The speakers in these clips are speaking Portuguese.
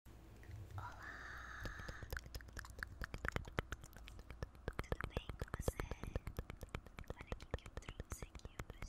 Olá! Tudo bem com você? Olha o que eu trouxe aqui hoje pra fazer o SMR. Tô dando um jeito aqui na câmera.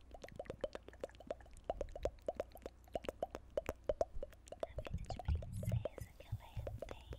A vida de princesa que a Leia tem.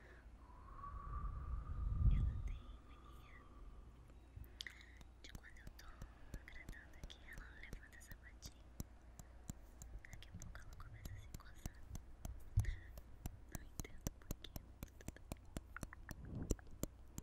Ela tem mania de quando eu tô agradando aqui, ela levanta essa patinha. Daqui a pouco ela começa a se coçar. Não entendo por quê. Leia assim,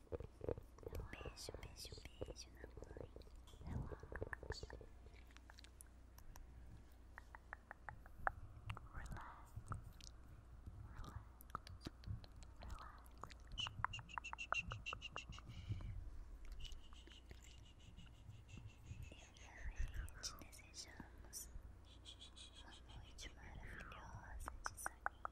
Um beijo, beijo, beijo na mãe. Relax. Relax. Relax. Eu e a te desejamos uma noite maravilhosa de soninho.